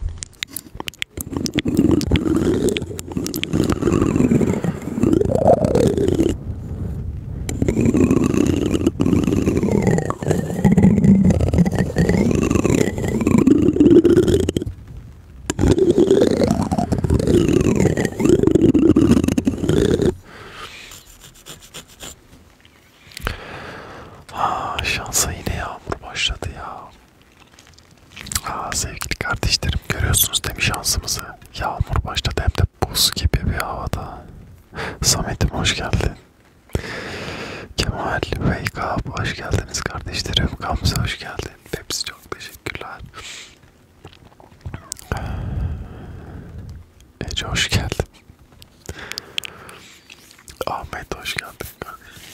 Aa, ah, şansa yine yağmur başladı ya. Aa, sevgili kardeşlerim görüyorsunuz değil mi şansımızı? Yağmur başladı hem de buz gibi bir havada. Samet'im hoş geldin. Kemal, Wake Up hoş geldiniz kardeşlerim. Gamze hoş geldin. Hepsi çok teşekkürler. Ece hoş geldin. Ahmet hoş geldin kardeşim.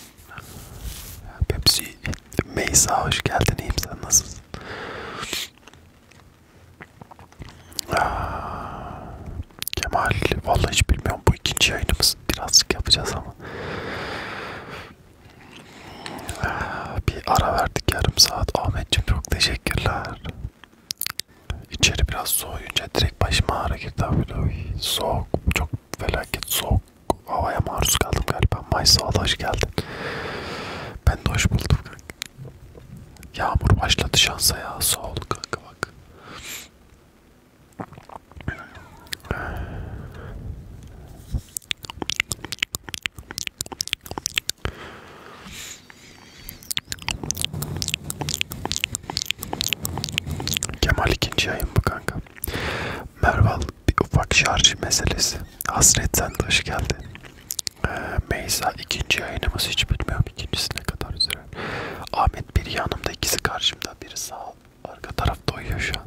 Pepsi, Meysa hoş geldin. İyiyim sen nasılsın? Kemal, vallahi hiç bilmiyorum bu ikinci yayınımız birazcık yapacağız ama bir ara verdik yarım saat. Ahmetciğim çok teşekkürler. İçeri biraz soğuyunca direkt başıma ağrı girdi abi. Soğuk, çok felaket soğuk havaya maruz kaldım galiba. Mayıs'a hoş geldin. Ben de hoş buldum kanka. Yağmur başladı şansa ya. Soğuk kanka bak. Kemal ikinci yayın bu kanka. Merval bir ufak şarj meselesi. Hasretten taş geldi. Ee, Meysa ikinci yayınımız hiç bilmiyorum ikincisine kadar üzere. Ahmet biri yanımda ikisi karşımda biri sağ arka tarafta uyuyor şu an.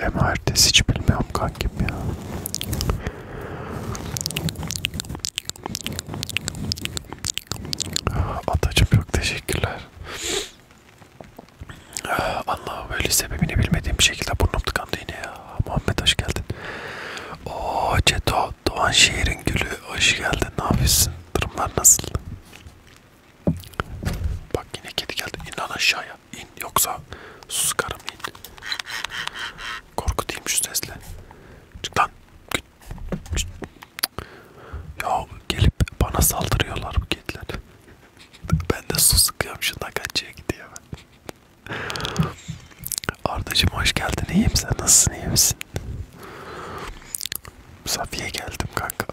Hem ertesi hiç bilmiyorum kankim ya. Atacım çok teşekkürler. Allah'ım öyle sebebini bilmediğim bir şekilde burnum tıkandı yine ya. Muhammed hoş geldin. Ooo Ceto Doğan şehrin gülü hoş geldin. Ne yapıyorsun? Durumlar nasıl? Bak yine kedi geldi. İnan aşağıya in yoksa suskarım in. Korkutayım şu sesle. Çık lan. Git. Git. Ya gelip bana saldırıyorlar bu kediler. Ben de su sıkıyorum şundan kaçıya gidiyor ben. Ardacım hoş geldin iyiyim sen nasılsın iyi misin? Safiye geldim kanka.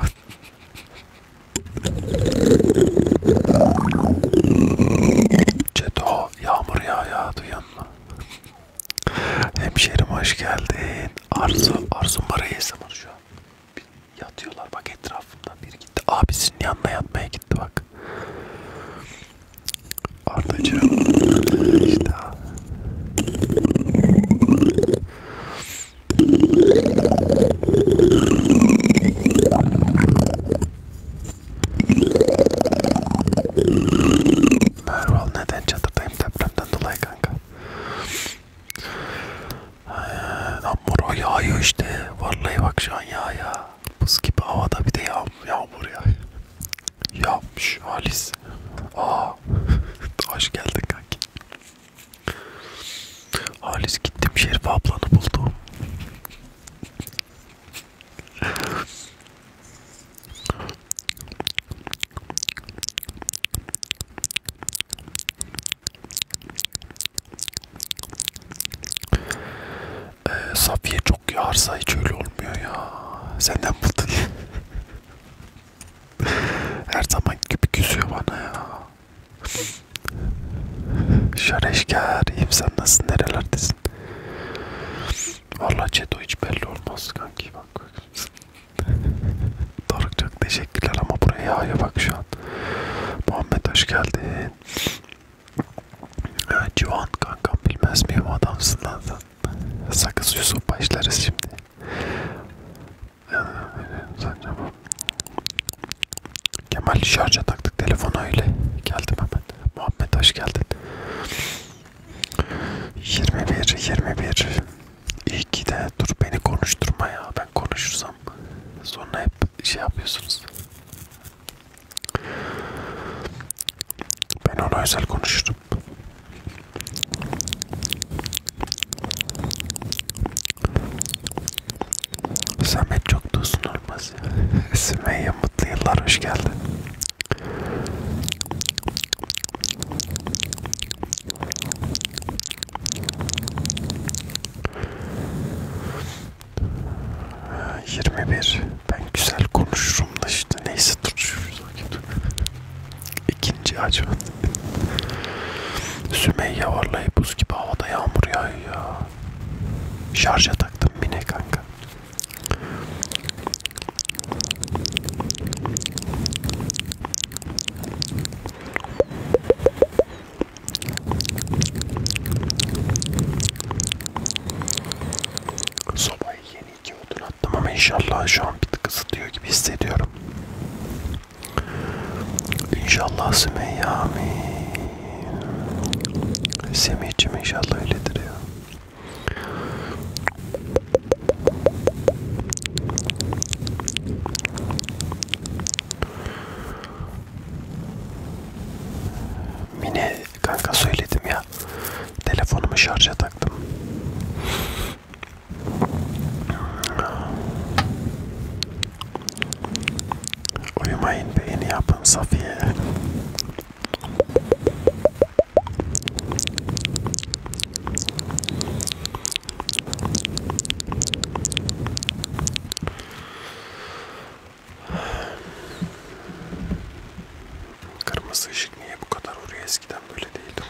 Ceto yağmur ya ya duyan mı? Hemşerim hoş geldin. Arzu, Arzu Marayes'e var şu an. Bir yatıyorlar bak etrafımdan biri gitti. Abisinin yanına yatmaya gitti bak. Ardacığım. İşte Erval neden çatıdayım depremden dolayı kanka? Ee, yağmur yağıyor işte. Vallahi bak şu an yağ ya. Buz gibi havada bir de yağ, yağmur ya. Yağmış Halis. Aa. Hoş geldin kanki. Halis gittim Şerife ablanı buldum ee, Safiye çok yarsa hiç öyle olmuyor ya. Senden buldun. Her zaman gibi küsüyor bana ya. Şareşker, iyiyim sen nasılsın, nerelerdesin? Valla Cedo hiç belli olmaz kanki bak. Doruk çok teşekkürler ama buraya yağıyor bak şu an. Muhammed hoş geldin. Ya, Civan kankam bilmez miyim adamsın lan sen. Sakız Yusuf başlarız şimdi. Yani, Kemal şarja taktık telefonu öyle. Geldim hemen. Muhammed hoş geldin. 21 21 İyi ki de dur beni konuşturma ya. Ben konuşursam sonra hep şey yapıyorsunuz. Ben ona özel konuşurum. Samet çok da uzun olmaz görüşürüz. Sümeyye mutlu yıllar hoş geldin. Yirmi bir. Ben güzel konuşurum da işte neyse tutuşuruz İkinci acaba. Sümeyye vallahi buz gibi havada yağmur yağıyor ya. Şarja taktım mine kanka. Sobayı yeni iki odun attım ama inşallah şu an bir tık ısıtıyor gibi hissediyorum. İnşallah Sümeyye amin. Semih'cim inşallah öyledir ya. Mine kanka söyledim ya. Telefonumu şarja taktım. Uyumayın beyni yapın Safiye. Kırmızı ışık niye bu kadar oraya eskiden böyle değildi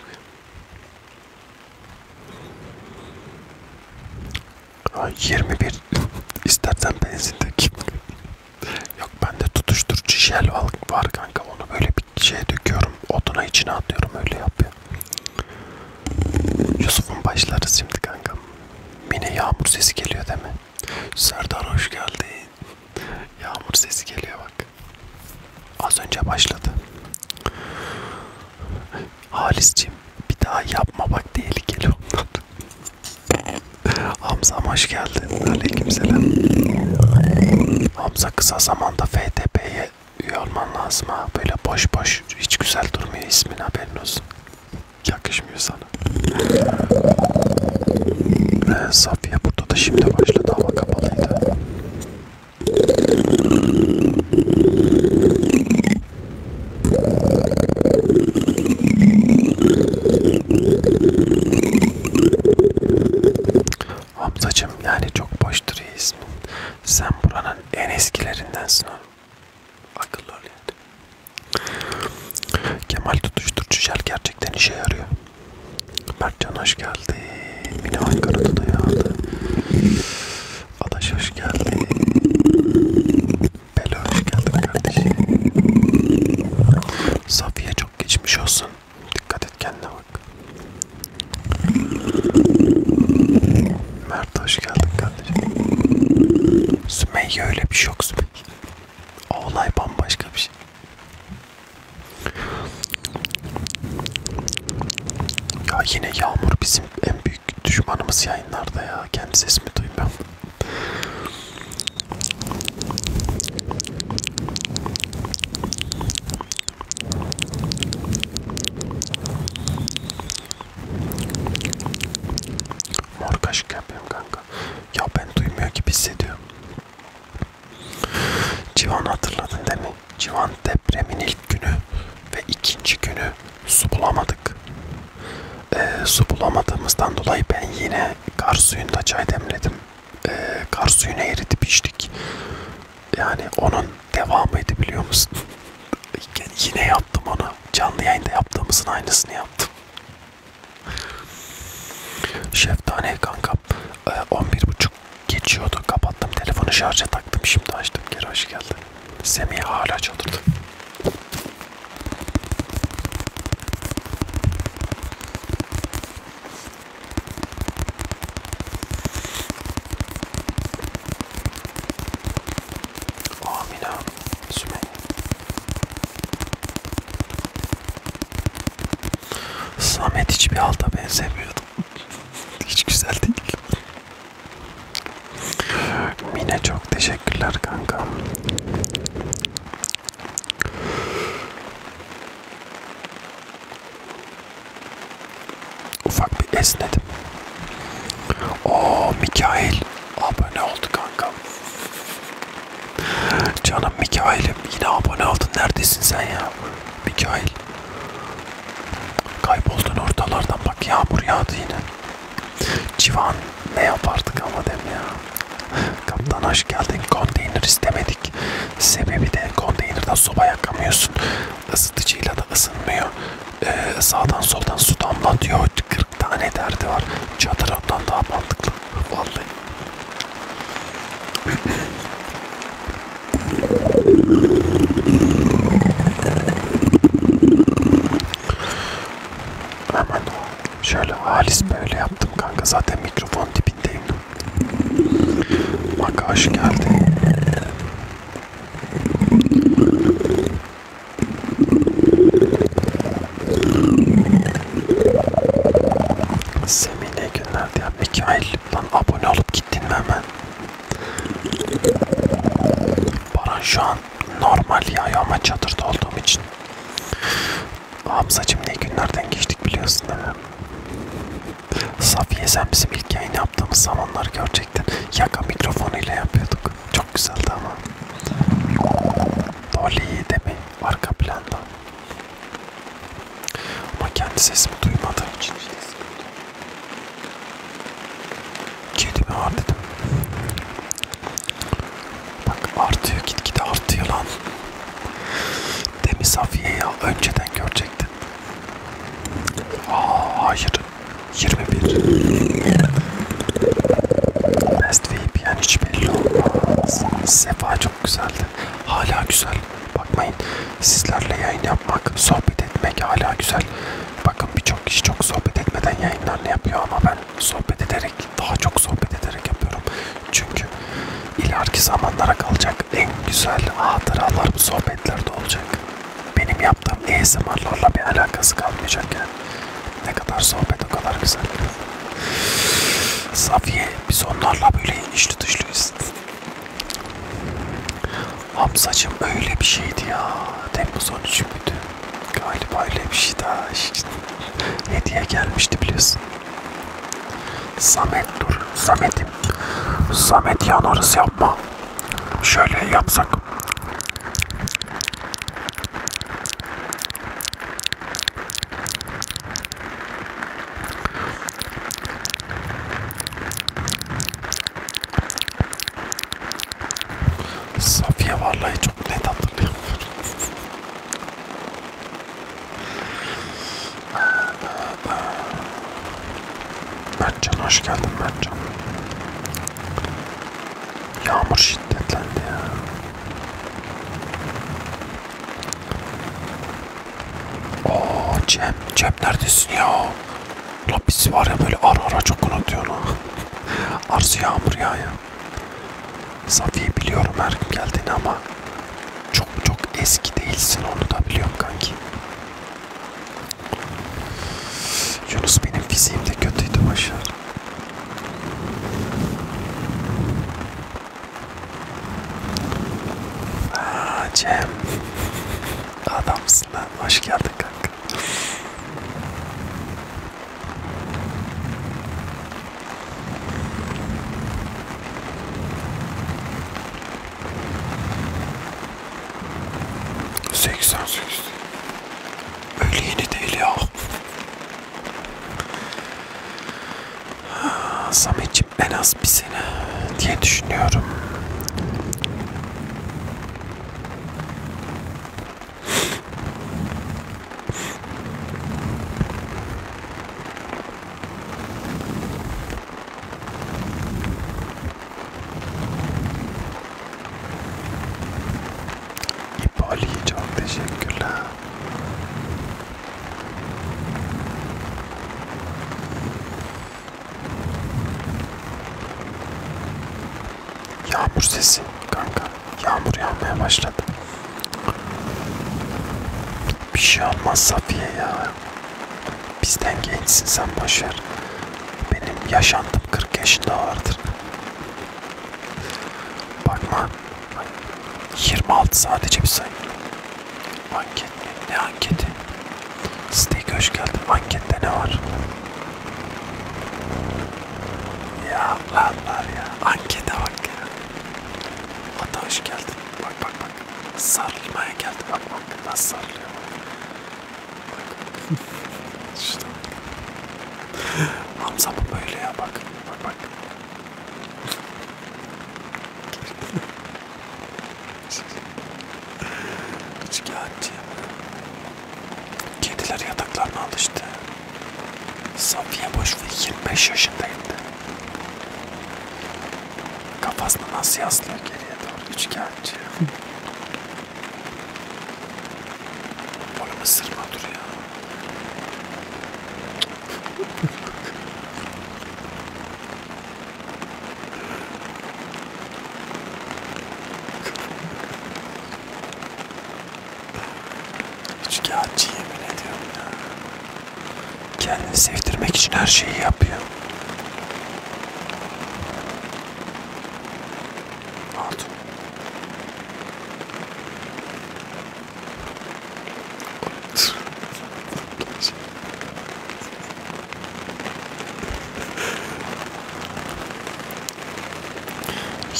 Ay 21 istersen benzindeki Yok bende tutuşturucu jel var kanka onu böyle bir şeye döküyorum oduna içine atıyorum öyle yapıyorum. Yusuf'un başları şimdi kanka. Yine yağmur sesi geliyor değil mi? Serdar hoş geldin. Yağmur sesi geliyor bak. Az önce başladı. Halis'cim bir daha yapma bak tehlikeli onlar. Hamza hoş geldin. Aleykümselam. Hamza kısa zamanda FTP'ye üye olman lazım ha. Böyle boş boş hiç güzel durmuyor ismin haberin olsun. Yakışmıyor sana. Ee, Safiye burada da şimdi başladı ama kapalıydı. Hamzacım yani çok boştur ismin. Sen buranın en eskilerindensin oğlum. Akıllı ol yani. Kemal tutuşturucu jel gerçekten işe yarıyor. Mertcan hoş geldi. Yine Ankara'da da yağdı. Adaş hoş geldi. Bela hoş geldin kardeşim. Safiye çok geçmiş olsun. Dikkat et kendine bak. Mert hoş geldin kardeşim. Sümeyye öyle bir şey yok Sümeyye. O olay bambaşka bir şey. Ya yine Yağmur bizim en büyük düşmanımız yayınlarda ya. Kendi sesimi duymuyorum. Mor kaşık yapıyorum kanka. Ya ben duymuyor gibi hissediyorum. Civan hatırladın değil mi? Civan depremin ilk günü ve ikinci günü su bulamadık e, su bulamadığımızdan dolayı ben yine kar suyunda çay demledim. E, kar suyunu eritip içtik. Yani onun devamıydı biliyor musun? yine yaptım onu. Canlı yayında yaptığımızın aynısını yaptım. Şeftane kanka 11.30 ee, geçiyordu. Kapattım telefonu şarja taktım. Şimdi açtım. Geri hoş geldin. Semih hala çaldırdı. Amina Sümeyye Samet hiçbir halda benzemiyordu. Hiç güzel değil. Mine çok teşekkürler kanka. Ufak bir esnedim. Oo oh, Mikail. Abone oldu kanka. Canım Mikail'im yine abone oldun. Neredesin sen ya? Mikail. Kayboldun ortalardan bak yağmur yağdı yine. Civan ne yapardık ama dem ya. Kaptan hoş geldin. Konteyner istemedik. Sebebi de konteynerden soba yakamıyorsun. Isıtıcıyla da ısınmıyor. Ee, sağdan soldan su damlatıyor. 40 tane derdi var. Çadır ondan daha mantıklı. Vallahi. Hemen Şöyle halis böyle yaptım kanka. Zaten mikrofon dibindeyim. Bak hoş geldi. Semih ne günler diye. Mikail lan abone olup gittin mi hemen? Baran şu an an normal yağıyor ama çadırda olduğum için. Hamzacığım ne günlerden geçtik biliyorsun değil mi? Safiye sen bizim ilk yayın yaptığımız zamanlar gerçekten yaka mikrofonuyla yapıyorduk. Çok güzeldi ama. Dolly de mi? Arka planda. Ama kendi sesimi duymadı. Kedimi var dedim. Bak artıyor gitgide artıyor lan. Demi Safiye'yi önceden görecektin. Aa hayır. 21. Best VIP yani hiç belli olmaz. Sefa çok güzeldi. Hala güzel. Bakmayın sizlerle yayın yapmak, sohbet etmek hala güzel. Bakın birçok kişi çok sohbet etmeden yayınlarını yapıyor ama ben sohbet ederek daha çok sohbet ederek yapıyorum. Çünkü ileriki zamanlara kalacak en güzel hatıralar bu sohbetlerde olacak. Benim yaptığım ASMR'larla bir alakası kalmayacak yani. Ne kadar sohbet o kadar güzel. Safiye biz onlarla böyle inişli dışlıyız. Hamzacım öyle bir şeydi ya. Temmuz 13 müydü? Galiba öyle bir şey daha işte. Hediye gelmişti biliyorsun. Samet dur. Samet'im. Samet yanarız yapma. Şöyle yapsak. Safiye vallahi çok net hatırlıyorum. Mertcan hoş geldin Mertcan. Yağmur şiddetlendi ya. Oo Cem, Cem neredesin ya? La biz var ya böyle ara ara çok unutuyor ha. Arzu yağmur ya ya. Safiye biliyorum her gün geldiğini ama çok çok eski değilsin onu da biliyorum kanki. Yunus benim fiziğim de kötüydü Başar. Aa, Cem. Adamsın lan. Hoş geldin kanka. 88 Öyle yeni değil ya Samet'ciğim en az bir sene diye düşünüyorum İpali çok teşekkürler. Yağmur sesi kanka yağmur yağmaya başladı. Bir şey olmaz Safiye ya. Bizden gençsin sen boşver. Benim yaşantım 40 yaşında vardır. Bakma. 26 sadece bir sayı. Anket ne? Ne anketi? Steak hoş geldin. Ankette ne var? Ya lan lan ya. Ankete bak ya. Ata hoş geldin. Bak bak bak. Sarılmaya geldi. Bak bak nasıl sarılıyor. Bak. işte bak. Hamza bu böyle ya bak. Bak bak. Üç kağıtçı. Kediler yataklarına alıştı. Safiye Boşver 25 yaşındaydı. Kafasını nasıl yaslıyor geriye doğru üçgenci. Onu ısırma dur ya. Üçkağıtçı yemin ediyorum ya. Kendini sevdirmek için her şeyi yapıyor. Altun.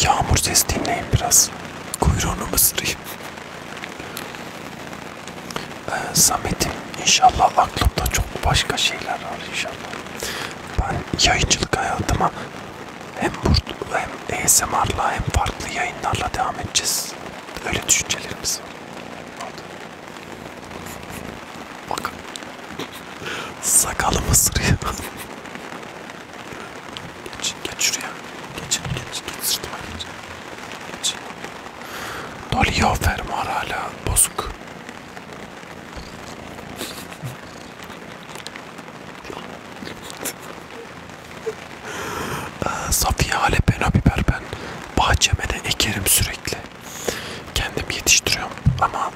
Yağmur sesi dinleyin biraz. Kuyruğunu mısırayım. Ee, Samet'im inşallah aklımda çok başka şeyler var inşallah. Ben yayıncılık hayatıma hem burada hem ASMR'la hem farklı yayınlarla devam edeceğiz. Öyle düşüncelerimiz var. Bak. Sakalım ısırıyor. Geç, geç şuraya. Geç, geç, geç sırtıma geç. Geç. Doluyor fermuar hala bozuk. Ee, Safiye Alepeno biber ben bahçeme de ekerim sürekli. Kendim yetiştiriyorum ama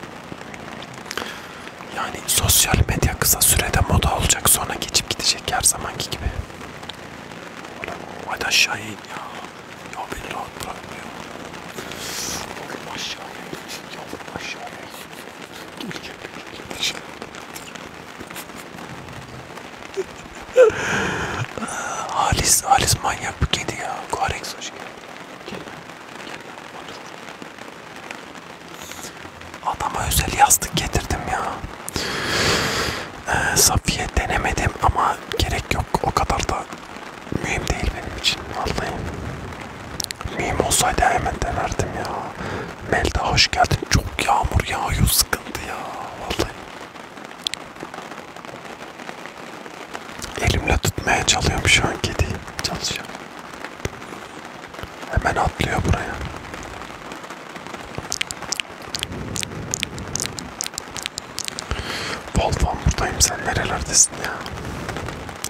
yani sosyal medya kısa sürede moda olacak sonra geçip gidecek her zamanki gibi. Hadi aşağıya in ya. Ya beni rahat bırakmıyor. Oğlum aşağıya in. Ya aşağıya in. Gelecek. Gelecek. Halis, Halis manyak bu kedi ya. Korex hoş geldin. Gel lan, gel lan. Otur. Adama özel yastık getirdim ya. Ee, Safiye denemedim ama gerek yok. O kadar da mühim değil benim için vallahi. Mühim olsaydı hemen denerdim ya. Melda hoş geldin. Çok yağmur yağıyor sıkıntı ya vallahi. Elimle tutmaya çalışıyorum şu an kediyi. Çalışıyorum. Hemen atlıyor buraya. Volvan buradayım sen nerelerdesin ya?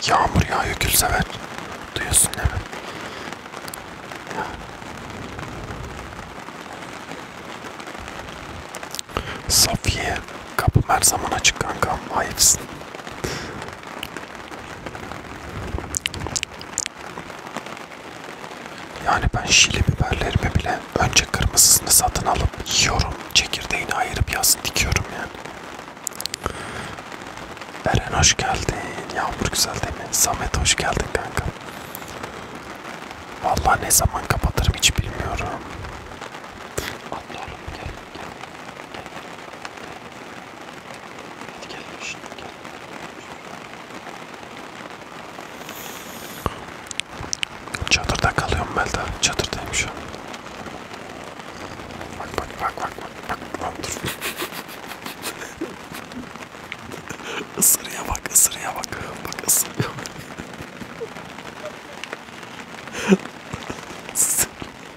Yağmur yağıyor gülsever. Duyuyorsun değil mi? Ya. Safiye kapım her zaman açık kankam. Ayıpsın. Yani ben şili biberlerimi bile önce kırmızısını satın alıp yiyorum. Çekirdeğini ayırıp yazın dikiyorum yani. Eren hoş geldin. Yağmur güzel değil mi? Samet hoş geldin kanka. Vallahi ne zaman kapatırım hiç bilmiyorum. Atla oğlum gel. Gel. Hadi gel. Şimdi gel. Çadırda kalıyorum Melda. Çadırdayım şu an. Bak bak bak bak bak bak dur. Isırıya bak ısırıya bak. Bak ısırıya bak.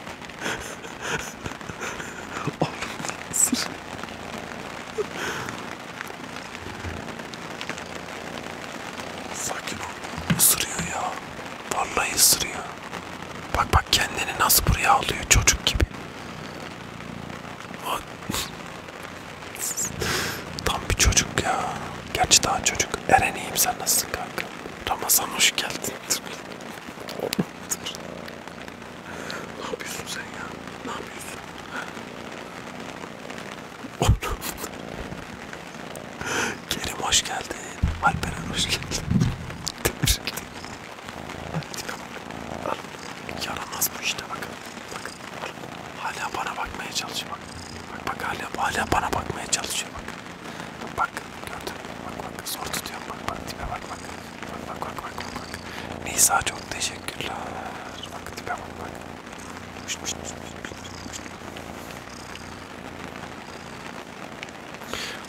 Sakin ol. Isırıyor ya. Vallahi ısırıyor. Bak bak kendini nasıl buraya alıyor çocuk gibi. Tam bir çocuk ya. Gerçi daha çocuk. Eren iyiyim sen nasılsın kanka? Ramazan hoş geldin. Ne yapıyorsun sen ya? Ne yapıyorsun? Kerim hoş geldin. Alperen hoş geldin. Al. Yaramaz bu işte bak. Bak. Al. Hala bana bakmaya çalışıyor bak. Bak bak hala, hala bana bakmaya çalışıyor bak. Bak gördün mü? Bak bak zor tutuyorum bak bak tipe bak bak. Bak bak bak bak bak. Nisa çok teşekkürler. Bak tipe bak bak. Pişt, pişt, pişt, pişt, pişt.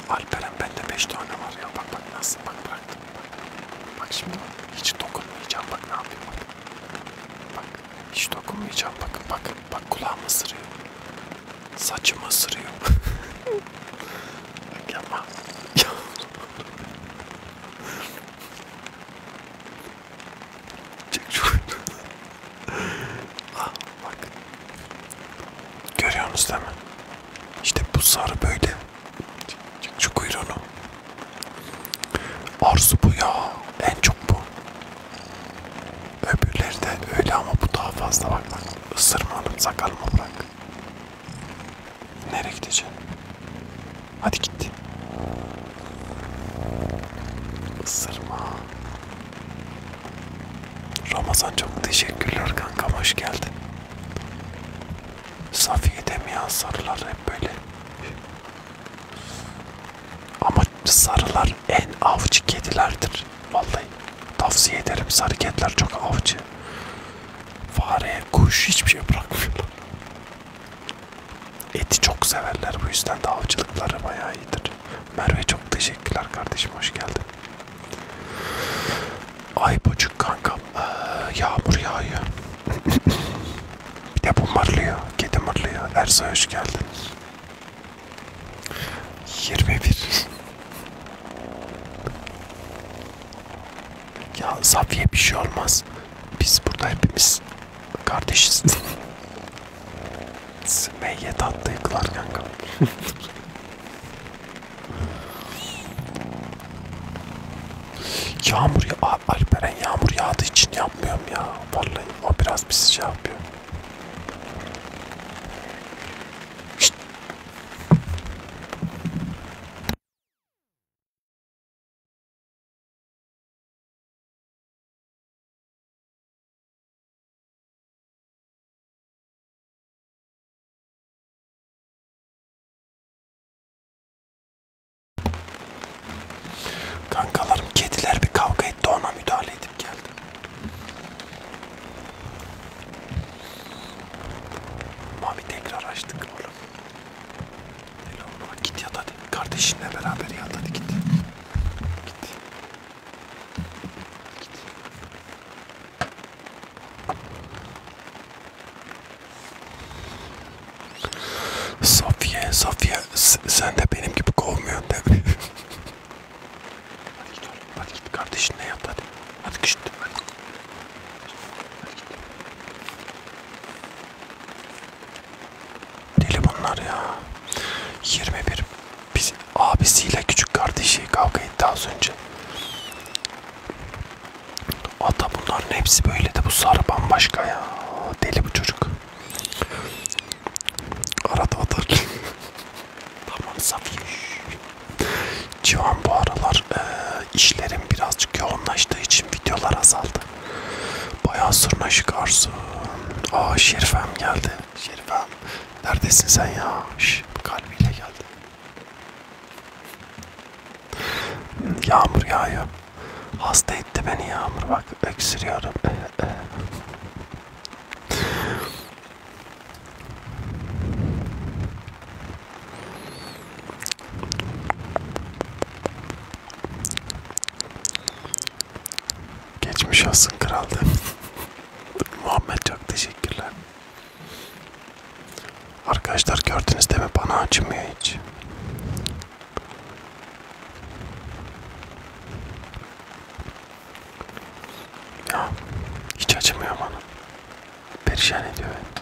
Alperen bende 5 tane var ya bak bak nasıl bak bıraktım bak. Bak şimdi bak hiç dokunmayacağım bak ne yapayım bak. Bak hiç dokunmayacağım bak bak bak kulağımı ısırıyor. Saçımı ısırıyor. Bak yapma. Çek şu ah, bak. Görüyorsunuz değil mi? İşte bu sarı böyle. Çık, çık şu kuyruğunu. Arzu bu ya. En çok bu. Öbürleri de öyle ama bu daha fazla bak. Isırma hanım sakalımı bırak. Nereye gideceğim? Hadi gitti. Isırma. Ramazan çok teşekkürler kankam hoş geldin. Safiye de ya sarılar hep böyle. Ama sarılar en avcı kedilerdir. Vallahi tavsiye ederim sarı kediler çok avcı. Fare, kuş hiçbir şey bırakmıyorlar. Eti çok severler bu yüzden de avcılıkları bayağı iyidir. Merve çok teşekkürler kardeşim hoş geldin. Ay bocuk kankam ee, yağmur yağıyor. Bir de bu mırlıyor, kedi mırlıyor. Ersoy hoş geldin. 21 ya Safiye bir şey olmaz. Biz burada hepimiz kardeşiz. Sümeyye tatlı yıkılar kanka. yağmur ya Alperen yağmur yağdığı için yapmıyorum ya. Vallahi o biraz bir şey yapıyor. Kankalarım kediler bir kavga etti ona müdahale edip geldim. Mavi tekrar açtık oğlum. Elon git yat hadi. Kardeşinle beraber yat hadi git. Git. Git. Safiye, Safiye sen de benim gibi kovmuyorsun değil mi? hadi git oğlum. Hadi git kardeşinle yat hadi. Hadi git hadi. Deli bunlar ya. 21 biz, abisiyle küçük kardeşi kavga etti az önce. Ata bunların hepsi böyle de bu sarı bambaşka ya. Deli bu çocuk. Arada atar. tamam Safiye. Civan bu aralar e, işlerim birazcık yoğunlaştığı için videolar azaldı. Bayağı sırnaşık Arzu. Aa Şerifem geldi. Şerifem neredesin sen ya? Şş, kalbiyle geldi. Yağmur yağıyor. Hasta etti beni yağmur bak öksürüyorum. Geçmiş olsun kraldı. Muhammed çok teşekkürler. Arkadaşlar gördünüz değil mi? Bana acımıyor hiç. Ya hiç acımıyor bana. Perişan ediyor beni.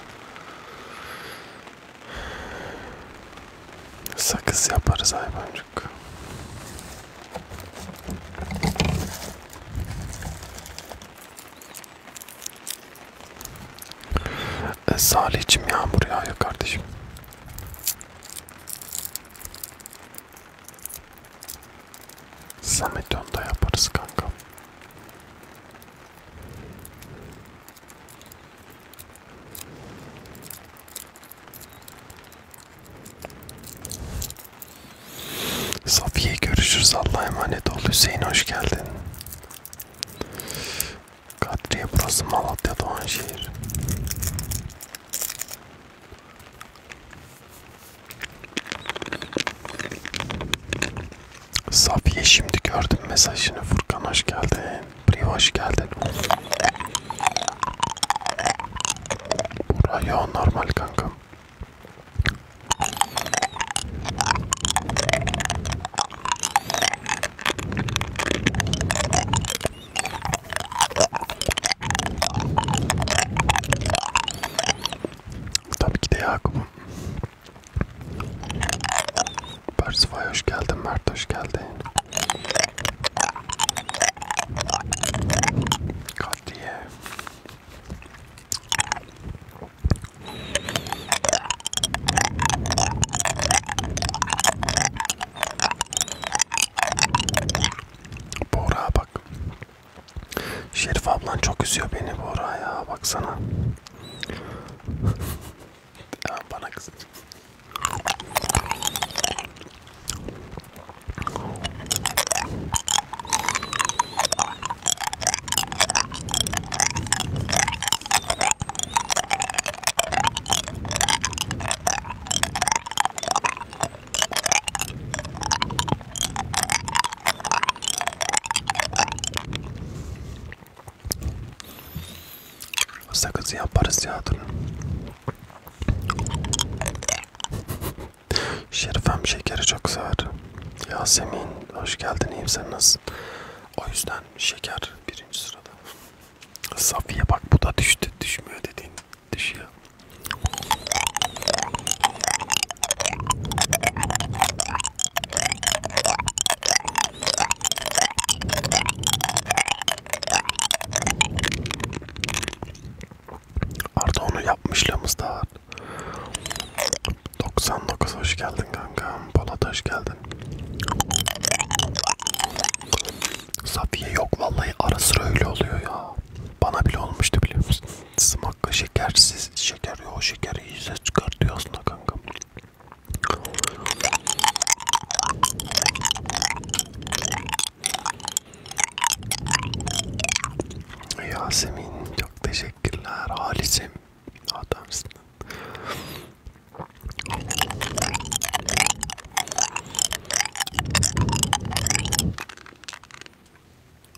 Sakız yaparız hayvancık. E, Salih'cim yağmur yağıyor kardeşim. Samet onda yaparız kanka. Safiye görüşürüz. Allah'a emanet ol. Hüseyin hoş geldin. Kadriye burası Malatya Doğanşehir. Safiye şimdi gördüm mesajını. Furkan hoş geldin. Priv hoş geldin. Buraya normal kankam. Tabii ki de Yakup'um. Persifay hoş geldin, Mert hoş geldin. Kadriye. Bora bak Şerif ablan çok üzüyor beni Bora ya baksana. ya bana kızın. Sakızı yaparız ya dur. Şerifem şekeri çok sever. Yasemin hoş geldin iyiyim sen nasılsın? O yüzden şeker birinci sırada. Safiye bak bu da düştü düşmüyor dediğin düşüyor. Arda onu yapmışlığımız da var. 99 hoş geldin kanka. Polat hoş geldin. Safiye yok vallahi ara sıra öyle oluyor ya. Bana bile olmuştu biliyor musun? Smakka şekersiz şeker yok şekeri yüze çıkartıyor aslında kanka. Yasemin çok teşekkürler Halis'im adamsın.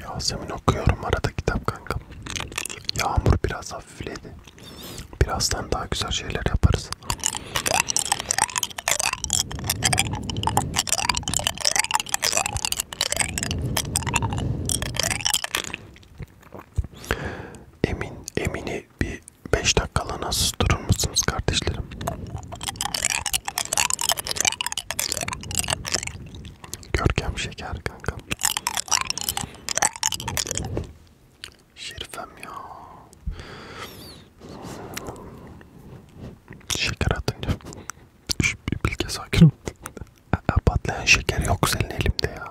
Yasemin okuyorum arada kitap kankam. Yağmur biraz hafifledi. Birazdan daha güzel şeyler yaparız. Emin, Emin'i bir 5 dakikalığına susturur musunuz kardeşlerim? Görkem şeker kankam. Şerifem ya. Şeker atınca. Bilge sakin ol. E, e, patlayan şeker yok senin elimde ya.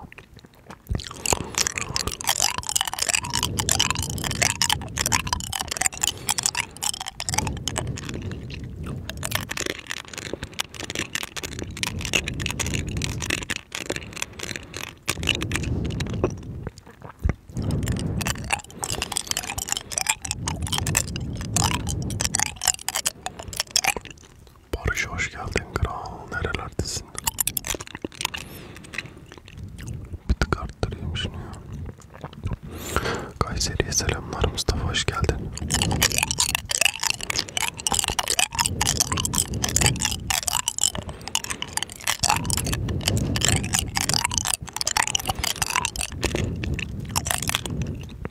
Barış hoş geldin kral. Nerelerdesin? Bir tık arttırayım şunu ya. Kayseri'ye selamlar Mustafa hoş geldin.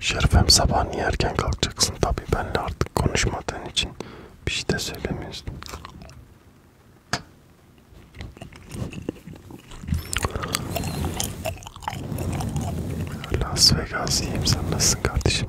Şerifem sabah niye erken kalkacaksın? Tabii benle artık konuşmadığın için bir şey de söylemeyiz. Las Vegas iyiyim sen nasılsın kardeşim?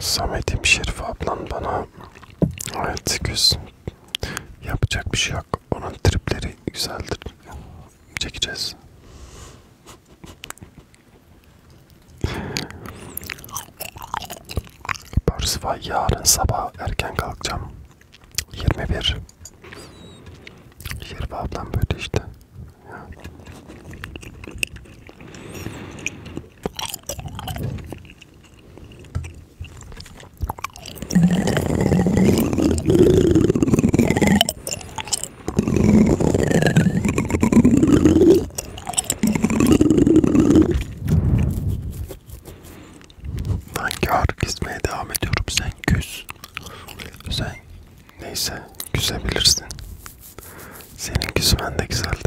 Samet'im Şerif ablan bana evet 800 Yapacak bir şey yok. Onun tripleri güzeldir. Çekeceğiz. Borsify yarın sabah erken kalkacağım. 21. Şerif ablam böyle işte. Ya. Ben kar gizmeye devam ediyorum. Sen küs. Sen neyse güzebilirsin. Senin küsmen de güzeldir.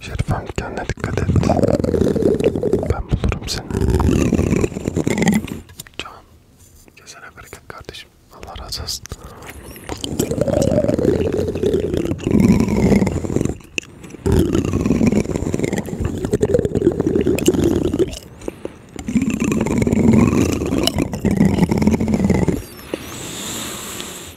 Şerifem kendine dikkat et. Ben bulurum seni. Can. Kesene bereket kardeşim. Allah razı olsun.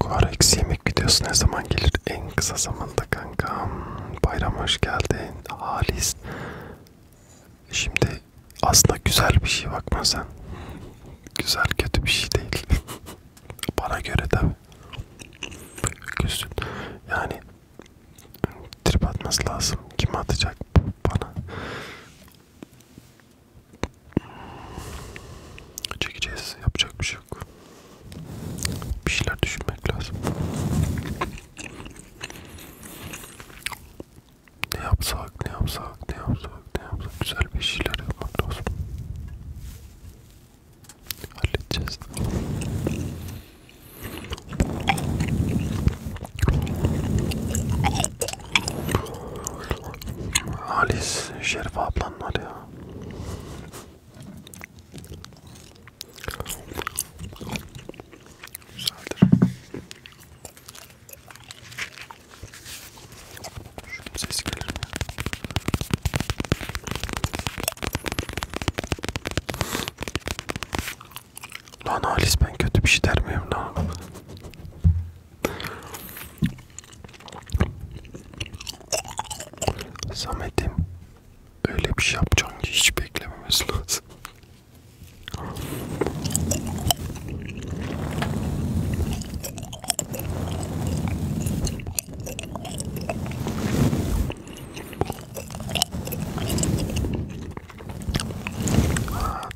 Korex yemek videosu ne zaman gelir? En kısa zamanda kankam. Bayram hoş geldin. Halis. Şimdi aslında güzel bir şey bakma sen. Güzel kötü bir şey değil. Bana göre tabi. Gülsün. Yani trip atması lazım. Kim atacak bana? Çekeceğiz. Yapacak bir şey yok. Bir şeyler düşünmek lazım. Ne yapsak, ne yapsak, ne yapsak yapsak ne yapsak güzel bir şeyler yapmak lazım. Halledeceğiz. Halis, Şerif ablan var ya. Güzeldir. Şunun sesi gelir mi? Lan Halis ben kötü bir şey der miyim lan? Samet'im öyle bir şey yapacaksın ki hiç beklememiz lazım. Aa,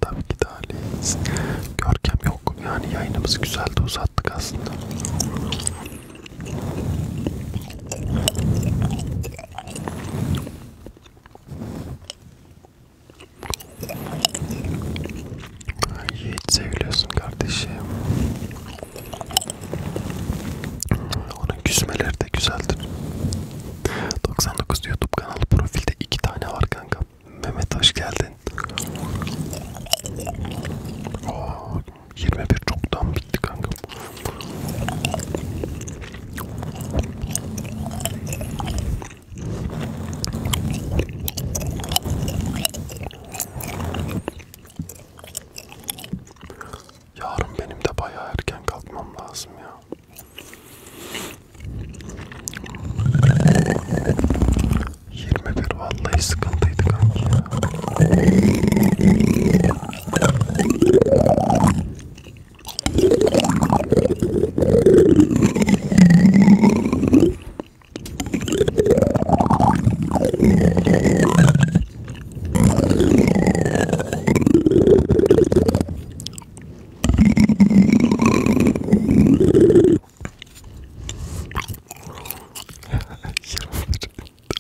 tabii ki daha leyiz. Görkem yok. Yani yayınımızı güzel de uzattık aslında. Yiğit seviyorsun kardeşim. Onun küsmeleri de güzeldir. 99 YouTube kanalı profilde iki tane var kanka. Mehmet hoş geldin. Oo, 21 çoktan bitti kanka. Yarın benim de bayağı erken kalkmam lazım ya. Yirmi bir vallahi sıkıntıydı kanki ya.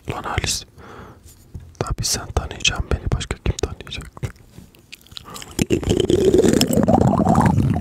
Lan Halis. Tabii sen tanıyacaksın beni. Başka kim tanıyacak?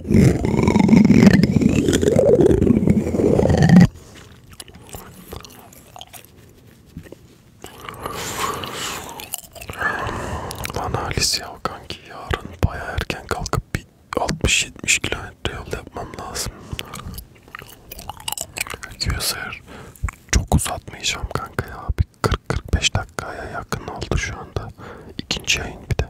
Lan Halis ya kanki yarın baya erken kalkıp bir 60-70 kilometre yol yapmam lazım. Gözler çok uzatmayacağım kanka ya. Bir 40-45 dakikaya yakın oldu şu anda. İkinci yayın bir de.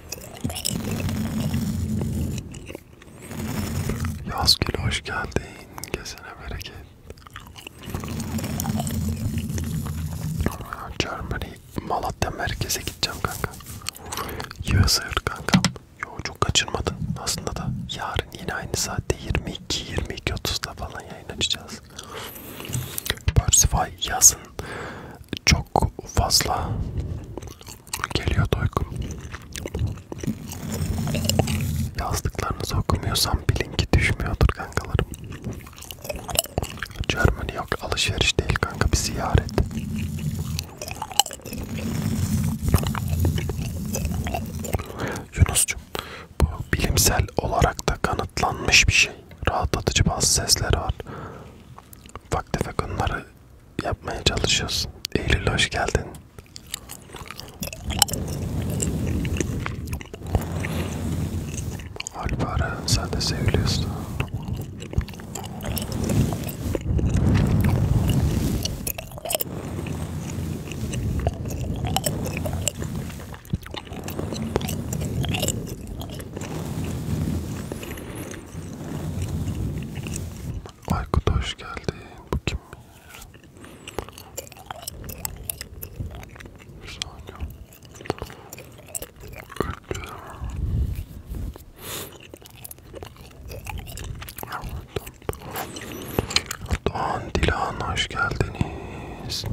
Yazgül hoş geldin. Gezene bereket. Germany, Malatya merkeze gideceğim kanka. Yığsır kankam. Yo çok kaçırmadın. Aslında da yarın yine aynı saatte 22-22.30'da falan yayın açacağız. Persephone yazın çok fazla Geliyor doykum. Yazdıklarınızı okumuyorsam bilin ki düşmüyordur kankalarım. Germany yok alışveriş değil kanka bir ziyaret. Yunus'cum bu bilimsel olarak da kanıtlanmış bir şey. Rahatlatıcı bazı sesler var. Ufak tefek onları yapmaya çalışıyoruz. Eylül hoş geldin. Alpara sen de seviliyorsun. Aykut hoş geldin. Bu kim? Bir saniye. Öldü. Doğan Dilan hoş geldiniz.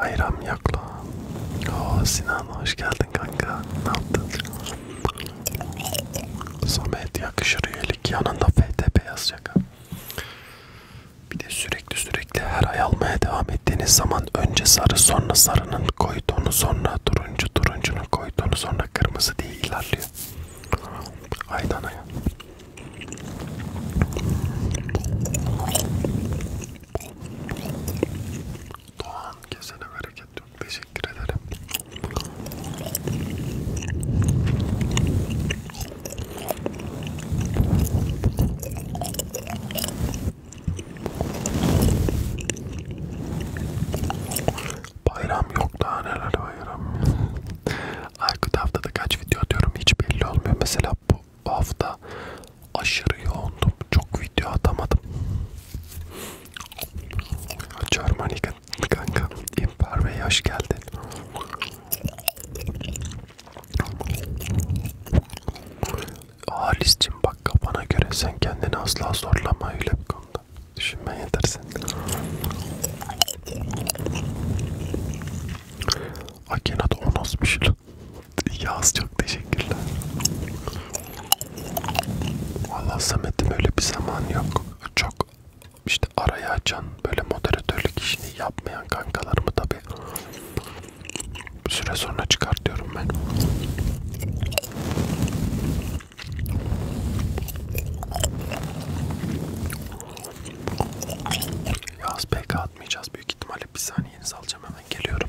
Bayram yakla. Oo Sinan hoş geldin kanka. Ne yaptın? Samet yakışır üyelik. Yanında FTP yazacak. Bir de sürekli sürekli her ay almaya devam ettiğiniz zaman önce sarı sonra sarının koyduğunu sonra turuncu turuncunun koyduğunu sonra kırmızı diye ilerliyor. Aydan aya. Doğan kesene bereket yok. Teşekkür ederim. Bayram yok daha neler bayram. Aykut haftada kaç video atıyorum hiç belli olmuyor. Mesela bu hafta aşırı yoğundum. Çok video atamadım. Germanika kanka İmper Bey hoş geldin. Halis'cim bak kafana göre sen kendini asla zorlama öyle bir konuda. Düşünmen yeter sen. Akenat o nasıl bir şey lan? Yaz çok teşekkürler. Vallahi Samet'im öyle bir zaman yok. Çok işte araya açan böyle moderatörlük işini yapmayan kankalarımı tabi bir süre sonra çıkartıyorum ben. Yaz PK atmayacağız büyük ihtimalle bir saniyenizi alacağım hemen geliyorum.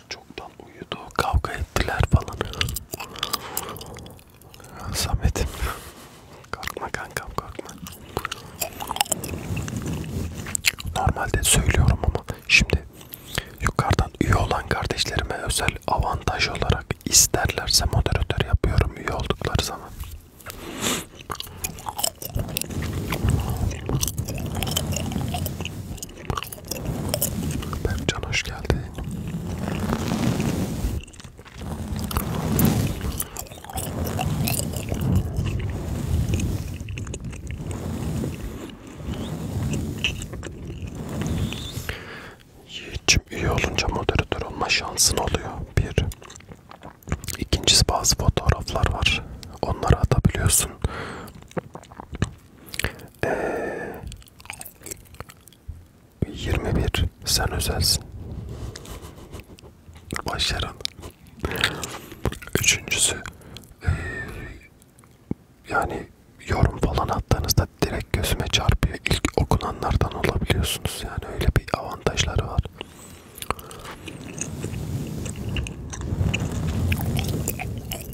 Köpekler çoktan uyudu, kavga ettiler falan. Samet'im, korkma kankam korkma. Normalde söylüyorum ama şimdi yukarıdan üye olan kardeşlerime özel avantaj olarak isterlerse moderatör yapıyorum üye oldukları zaman. Berkcan hoş geldin. Yiğit'cim üye olunca moderatör olma şansın oluyor. Bir. İkincisi bazı fotoğraflar var. Onları atabiliyorsun. Ee, 21 sen özelsin. Başarın. Üçüncüsü ee, yani yorum falan attığınızda direkt gözüme çarpıyor. İlk okunanlardan olabiliyorsunuz. Yani öyle bir avantajları var.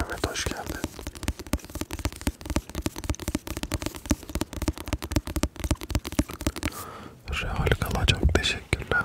Mehmet hoş geldin. Real kalacak teşekkürler.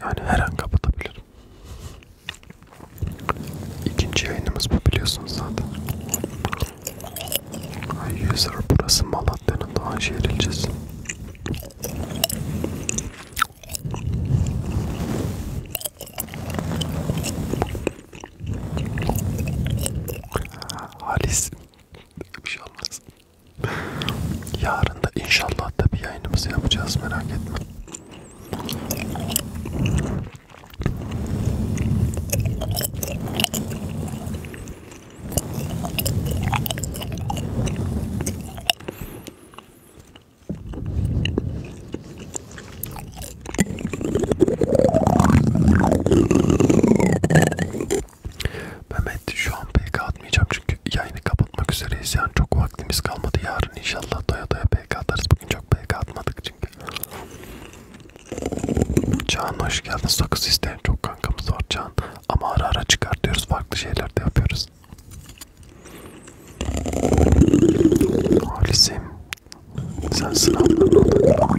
yani her an kapatabilirim. İkinci yayınımız bu biliyorsunuz zaten. User burası Malatya'nın Doğanşehir ilçesi. Halis bir şey olmaz. Yarın da inşallah da bir yayınımızı yapacağız merak etme. Mehmet şu an pek atmayacağım çünkü yayını kapatıyorum kapatmak üzereyiz yani çok vaktimiz kalmadı yarın inşallah doya doya PK atarız bugün çok PK atmadık çünkü Can hoş geldin sakız isteyen çok kankamız var Can ama ara ara çıkartıyoruz farklı şeyler de yapıyoruz Halisim sen sınavlarına odaklan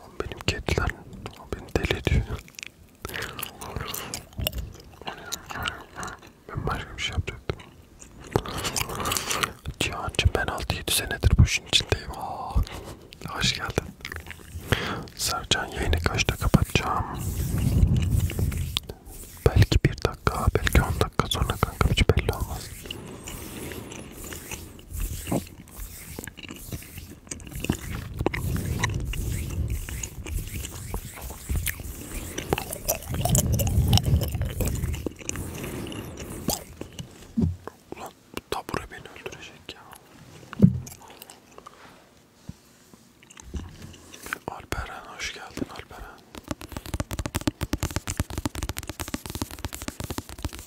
Lan benim kediler beni deli ediyor. Ben başka bir şey yapacaktım. Cihan'cım ben 6-7 senedir bu işin içindeyim. Aa, hoş geldin. Sercan yayını kaçta kapatacağım? Belki bir dakika, belki 10 dakika sonra kanka hiç belli olmaz. Ulan tabure beni öldürecek ya. Alperen hoş geldin Alperen.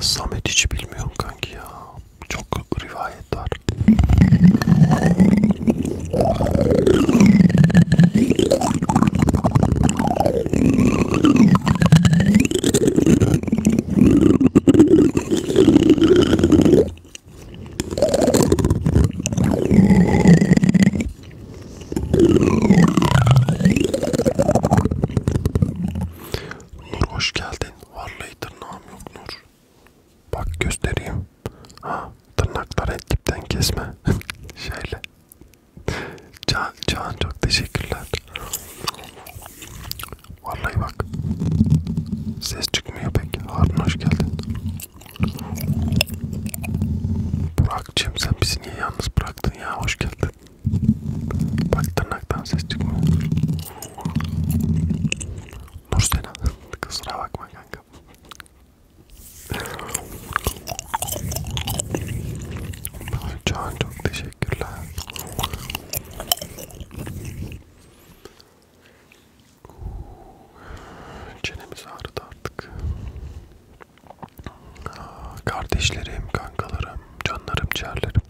Samet hiç bilmiyorum kanki ya. Çok rivayet var. Nur hoş geldin. Vallahi tırnağım yok Nur. Bak göstereyim. Ha, tırnakları etkipten kesme. Şöyle. Can, Can çok teşekkürler. Vallahi bak. Ses çıkmıyor pek. Harun hoş geldin. Burak'cığım sen bizi niye yalnız bıraktın ya? Hoş geldin. Bak tırnaktan ses çıkmıyor. Nursena kusura bakma kanka. Can çok teşekkürler. Çenemiz ağrıdı artık. Ah, kardeşlerim, kankalarım, canlarım, ciğerlerim.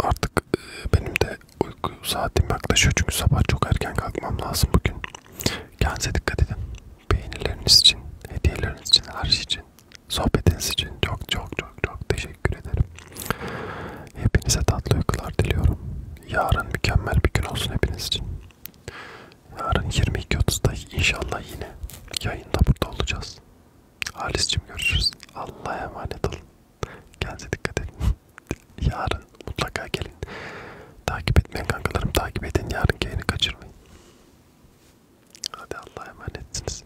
Artık e, benim de uyku saatim yaklaşıyor çünkü sabah çok erken kalkmam lazım bugün. Kendinize dikkat edin. Beğenileriniz için, hediyeleriniz için, her şey için, sohbetiniz için çok çok çok çok teşekkür ederim. Hepinize tatlı uykular diliyorum yarın mükemmel bir gün olsun hepiniz için. Yarın 22.30'da inşallah yine yayında burada olacağız. Halis'cim görüşürüz. Allah'a emanet olun. Kendinize dikkat edin. Yarın mutlaka gelin. Takip etmeyin kankalarım. Takip edin. Yarın yayını kaçırmayın. Hadi Allah'a emanetsiniz.